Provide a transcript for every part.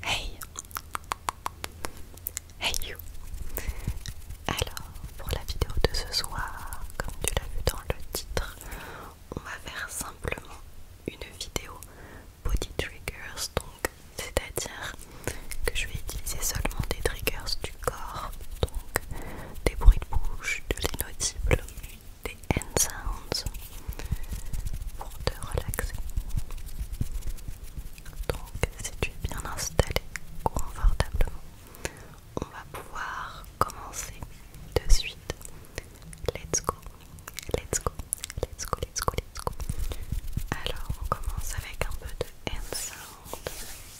Hey Hey you Alors, pour la vidéo de ce soir, comme tu l'as vu dans le titre, on va faire simplement une vidéo body triggers, donc c'est-à-dire que je vais utiliser seulement des triggers du corps, donc des bruits de bouche, de l'inaudible, des hand sounds pour te relaxer. Donc si tu es bien installé confortablement, on va pouvoir commencer de suite. Let's go, let's go, let's go, let's go, let's go. Alors on commence avec un peu de hand sound.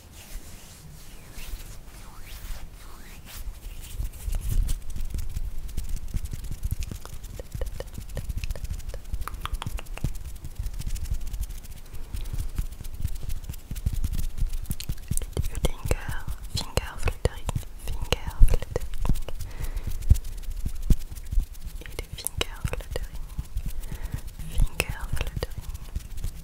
Finger, finger fluttering, finger fluttering, finger fluttering, finger fluttering,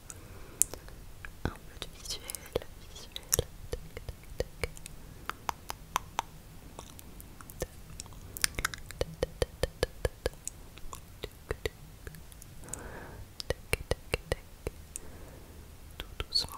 un peu de visuel, Tout doucement,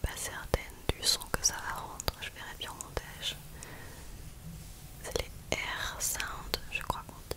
pas certaine du son que ça va rendre, je verrai bien en montage. C'est les air sound, je crois qu'on dit.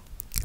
Relaxe,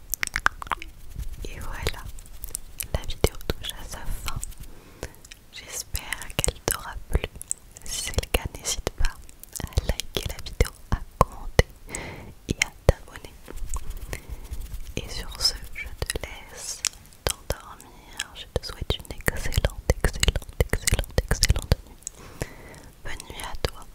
Et voilà, la vidéo touche à sa fin. J'espère qu'elle t'aura plu. Si c'est le cas, n'hésite pas à liker la vidéo, à commenter et à t'abonner. Et sur ce, je te laisse t'endormir. Je te souhaite une excellente, excellente, excellente, excellente nuit. Bonne nuit à toi.